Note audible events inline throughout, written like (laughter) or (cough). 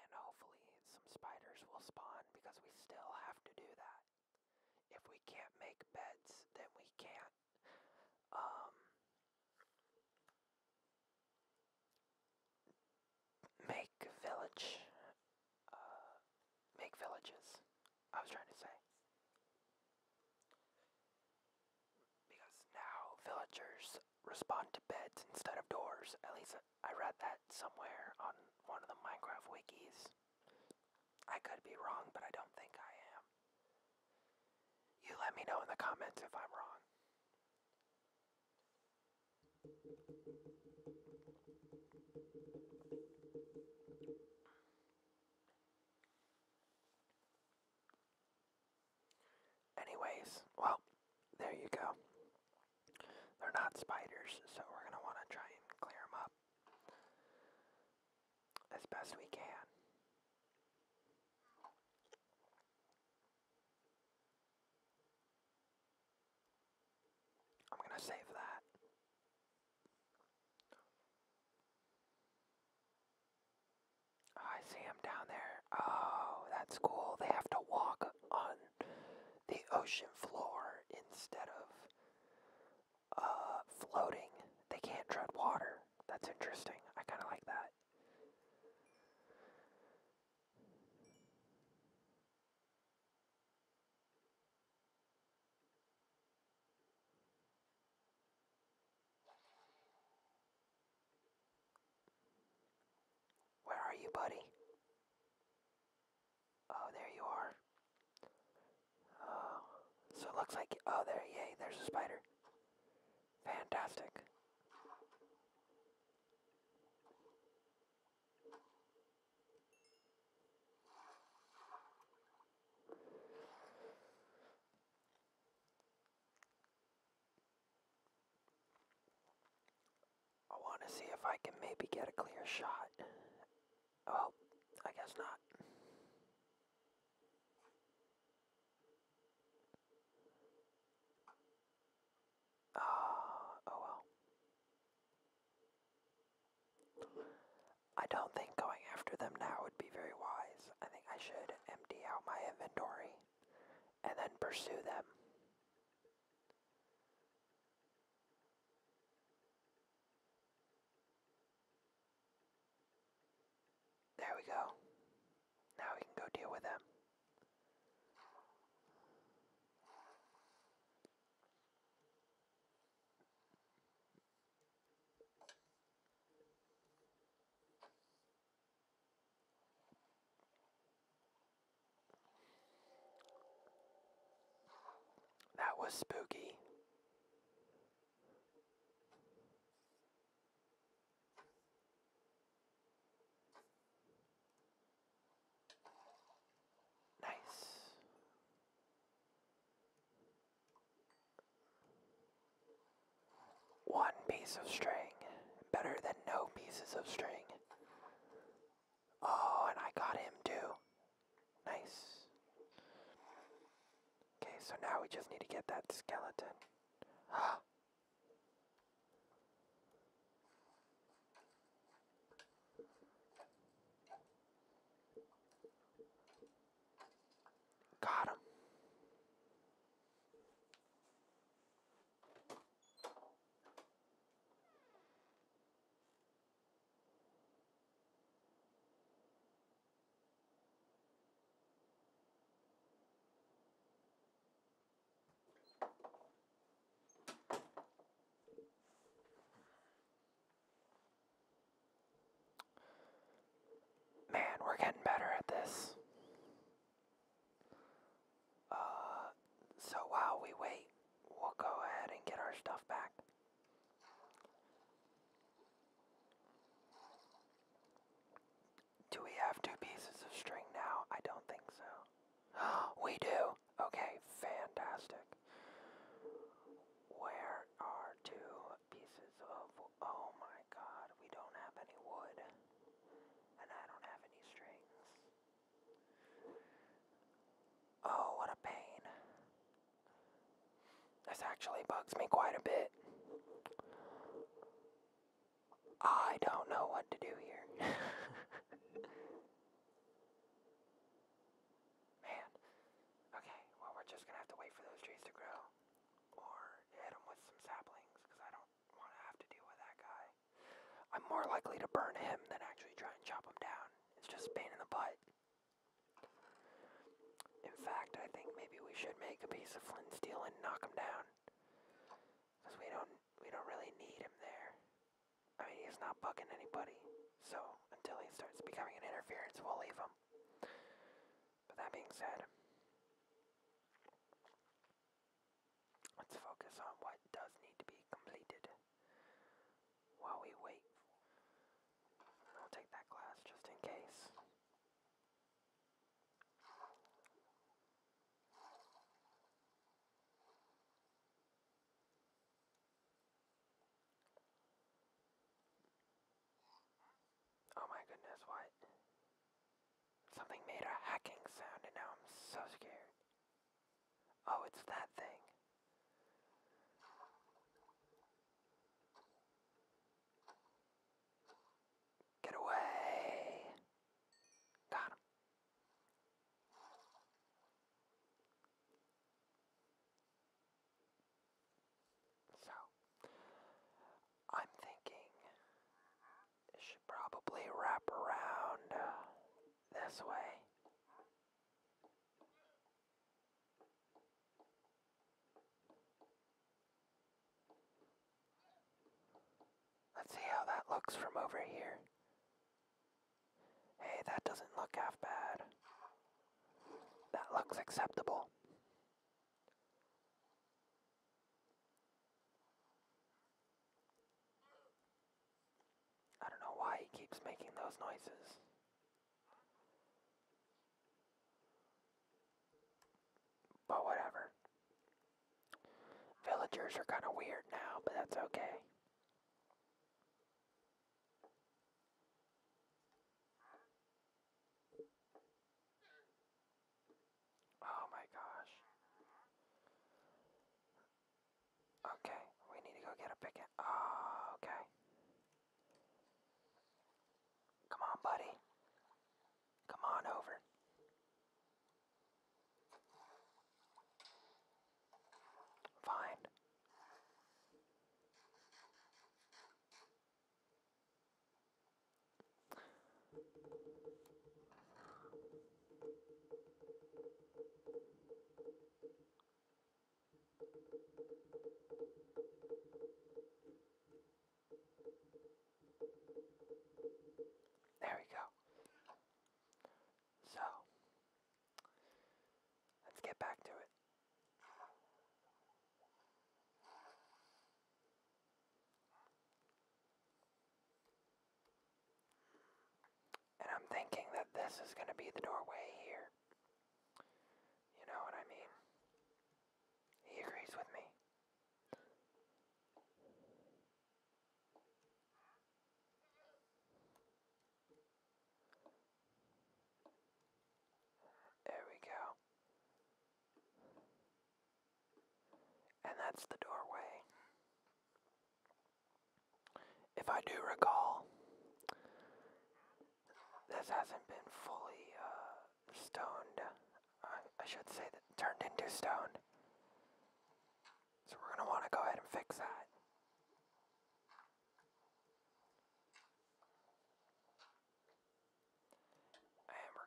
And hopefully some spiders will spawn because we still have to do that. If we can't make beds, then we can't um, make village, uh, make villages, I was trying to say. Because now villagers respond to beds instead of doors. At least I read that somewhere on one of the Minecraft wikis. I could be wrong, but I don't think I am. You let me know in the comments if I'm wrong. Anyways, well, there you go. They're not spiders, so we're going to want to try and clear them up as best we can. I'm going to save that. Oh, I see them down there. Oh, that's cool. They have to walk on the ocean floor instead of uh, floating. They can't tread water. That's interesting. I kind of like that. Where are you, buddy? Oh, there you are. Oh, so it looks like, oh, there, yay, there's a spider. Fantastic. I want to see if I can maybe get a clear shot. Oh, I guess not. Uh, oh well. I don't think going after them now would be very wise. I think I should empty out my inventory and then pursue them. There we go. Now we can go deal with them. That was spooky. Nice. One piece of string. Better than no pieces of string. Oh, and I got him too. Nice. Okay, so now we just need to get that skeleton. Ah! (gasps) Got him. Man, we're getting better at this. Uh, so while we wait, we'll go ahead and get our stuff back. Do we have two pieces of string now? I don't think so. (gasps) we do! Okay, fantastic. Where are two pieces of. Oh my god, we don't have any wood and Oh, what a pain. This actually bugs me quite a bit. I don't know what to do here. (laughs) Man. Okay, well, we're just gonna have to wait for those trees to grow. Or hit them with some saplings, I don't want to have to deal with that guy. I'm more likely to burn him than actually try and chop him down. It's just pain in the butt. In fact, I think maybe we should make a piece of flint steel and knock him down. Because we don't, we don't really need him there. I mean, he's not bucking anybody. So, until he starts becoming an interference, we'll leave him. But that being said, Let's focus on what does need to be completed while we wait. I'll take that glass just in case. Oh my goodness, what? Something made a hacking sound and now I'm so scared. Oh, it's that thing. Get away! Got him. So, I'm thinking it should probably wrap around this way. Let's see how that looks from over here. Hey, that doesn't look half bad. That looks acceptable. I don't know why he keeps making those noises. But whatever. Villagers are kind of weird now, but that's okay. Oh my gosh. Okay, we need to go get a picket. Oh, okay. Come on, buddy. Come on over. Fine. There we go. So, let's get back to it. And I'm thinking that this is going to be the doorway here. You know what I mean? He agrees with me. There we go. And that's the doorway. If I do recall, this hasn't been fully uh, stoned. I, should say that turned into stone. So we're going to want to go ahead and fix that. And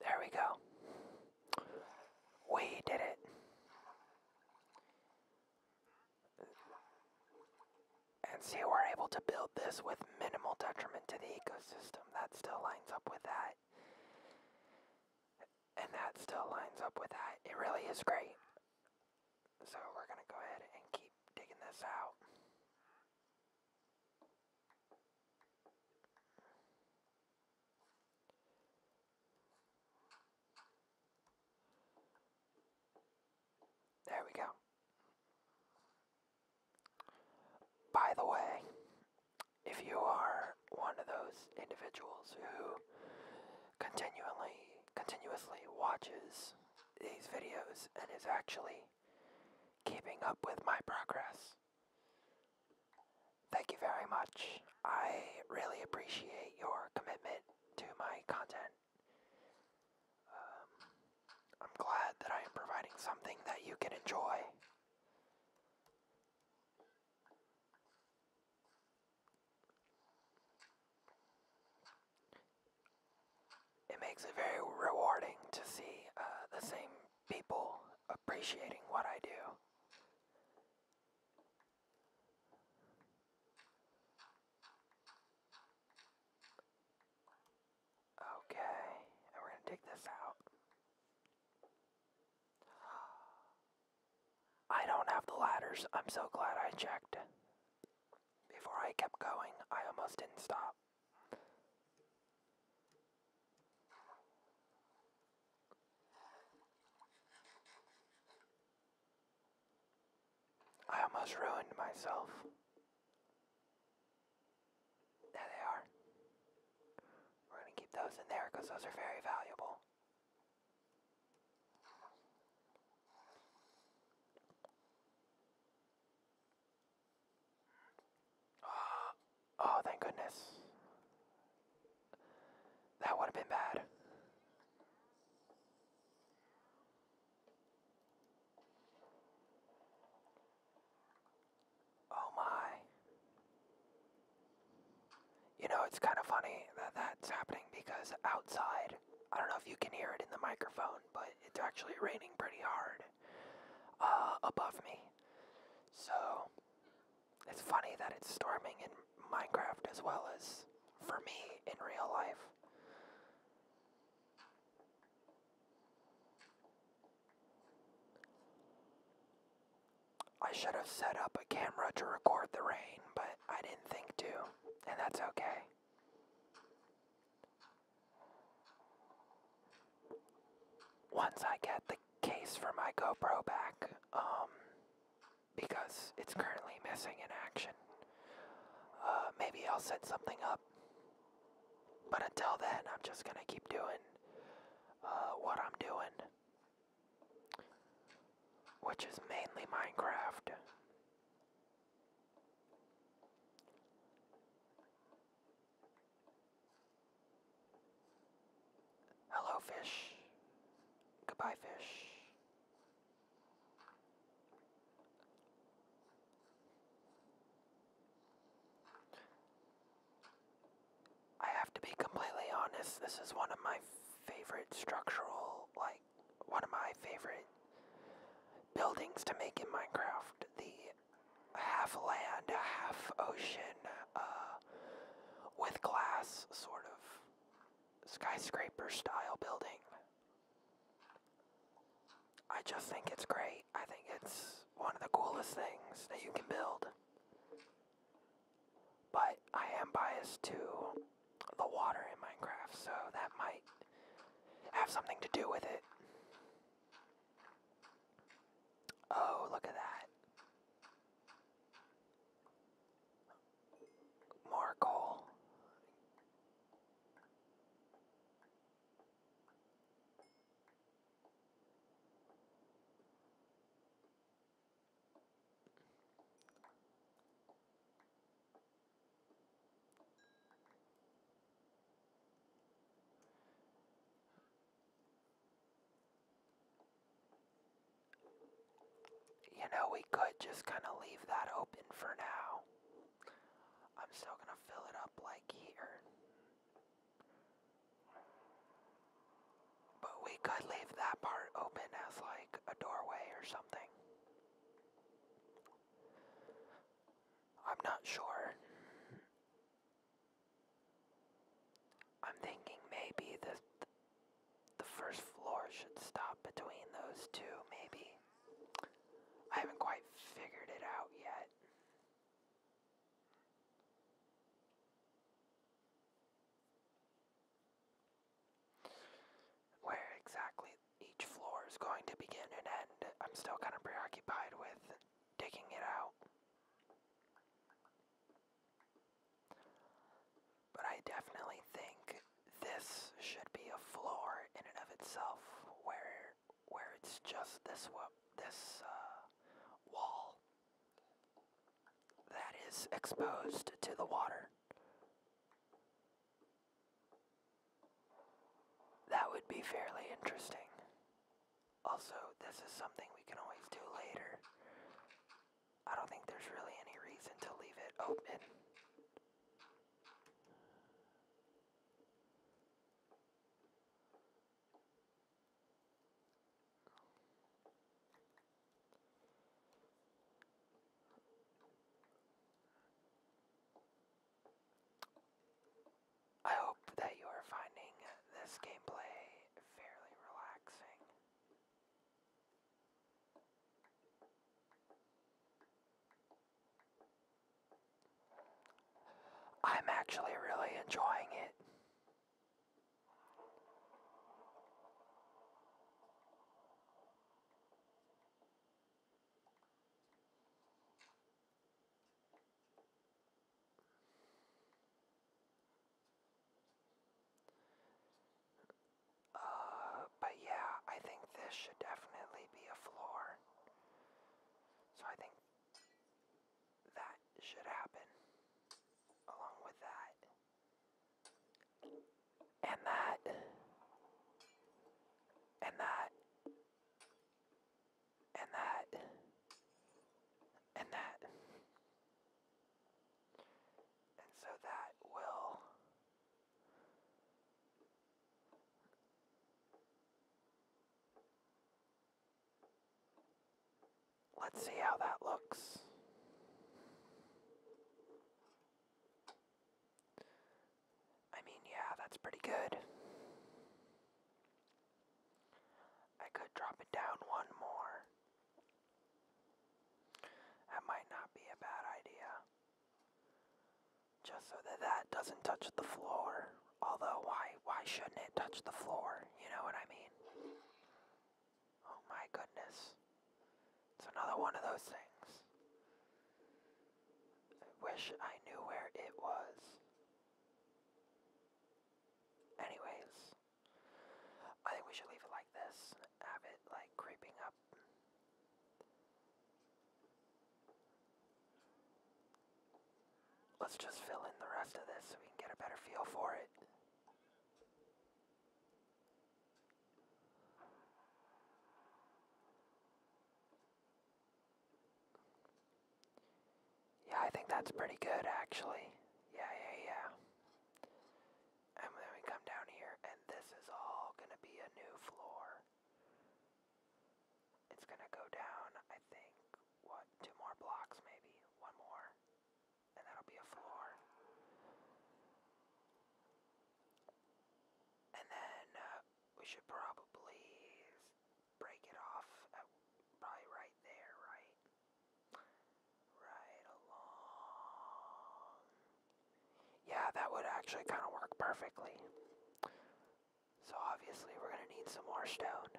There we go. We did it. And see, we're able to build this with minimal detriment to the ecosystem. That still lines up with that. And that still lines up with that. It really is great. So we're going to go ahead and keep digging this out. There we go. By the way, if you are one of those individuals who continually continuously watches these videos and is actually keeping up with my progress. Thank you very much. I really appreciate your commitment to my content. Um, I'm glad that I am providing something that you can enjoy it makes it very rewarding to see uh, the same people appreciating what I do. Okay, we're gonna take this out. I don't have the ladders. I'm so glad I checked. Before I kept going, I almost didn't stop. I almost ruined myself. There they are. We're going to keep those in there because those are very valuable. Ah, oh, thank goodness. That would have been bad. Oh my. You know, it's kind of funny that that's happening because outside, I don't know if you can hear it in the microphone, but it's actually raining pretty hard uh, above me. So it's funny that it's storming in Minecraft as well as for me in real life. I should have set up a camera to record the rain, but I didn't think to, and that's okay. Once I get the case for my GoPro back, um, because it's currently missing in action, uh, maybe I'll set something up. But until then, I'm just gonna keep doing uh, what I'm doing, which is mainly Minecraft. Hello, fish. Goodbye, fish. I have to be completely honest, this is one of my favorite structural, like, one of my favorite buildings to make in Minecraft. The half land, half ocean, uh, with glass sort of skyscraper style building. I just think it's great. I think it's one of the coolest things that you can build. But I am biased to the water in Minecraft, so that might have something to do with it. Oh, look at that. More you know, we could just kind of leave that open for now. I'm still gonna fill it up like here. But we could leave that part open as like a doorway or something. I'm not sure. I'm thinking maybe the the first floor should stop between those two, maybe. I haven't quite figured it out yet. Where exactly each floor is going to begin and end. I'm still kind of preoccupied with digging it out. But I definitely think this should be a floor in and of itself where where it's just this this uh, wall that is exposed to the water. That would be fairly interesting. Also, this is something we can always do later. I don't think there's really any reason to leave it open. I hope that you are finding this gameplay fairly relaxing. I'm actually really enjoying it. Uh, but yeah, I think this should definitely be a floor. So I think that should happen along with that. And that. And that and that and that and so that will Let's see how that looks. I mean, yeah, that's pretty good. I could drop it down one more. That might not be a bad idea. Just so that that doesn't touch the floor. Although, why, why shouldn't it touch the floor? You know what I mean? Oh my goodness. It's another one of those things. I wish I knew where it was. Anyways, I think we should leave it like this. Have it like creeping up. Let's just fill in the rest of this so we can get a better feel for it. Yeah, I think that's pretty good actually. Yeah, yeah, yeah. And then we come down here, and this is all gonna be a new floor. It's gonna go down, I think, what, two more blocks maybe? One more. And that'll be a floor. And then uh, we should probably break it off at probably right there, right? Right along. Yeah, that would actually kind of work perfectly. So obviously we're going to need some more stone.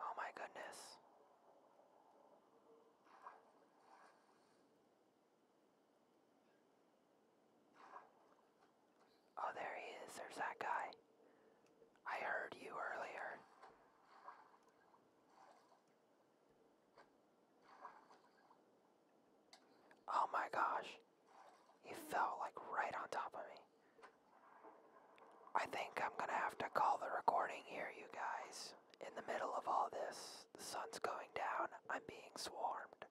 Oh my goodness. Oh, there he is. There's that guy. I heard you earlier. Oh my gosh. He fell like right on top of me. I think I'm gonna have to call the recording here, you guys. In the middle of all this, the sun's going down, I'm being swarmed.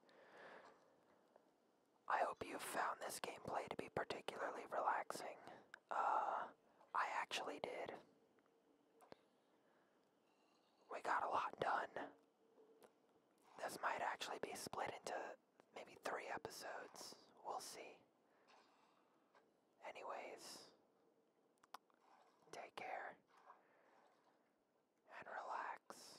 I hope you found this gameplay to be particularly relaxing. Uh, I actually did. We got a lot done. This might actually be split into maybe three episodes. We'll see. Anyways, take care and relax.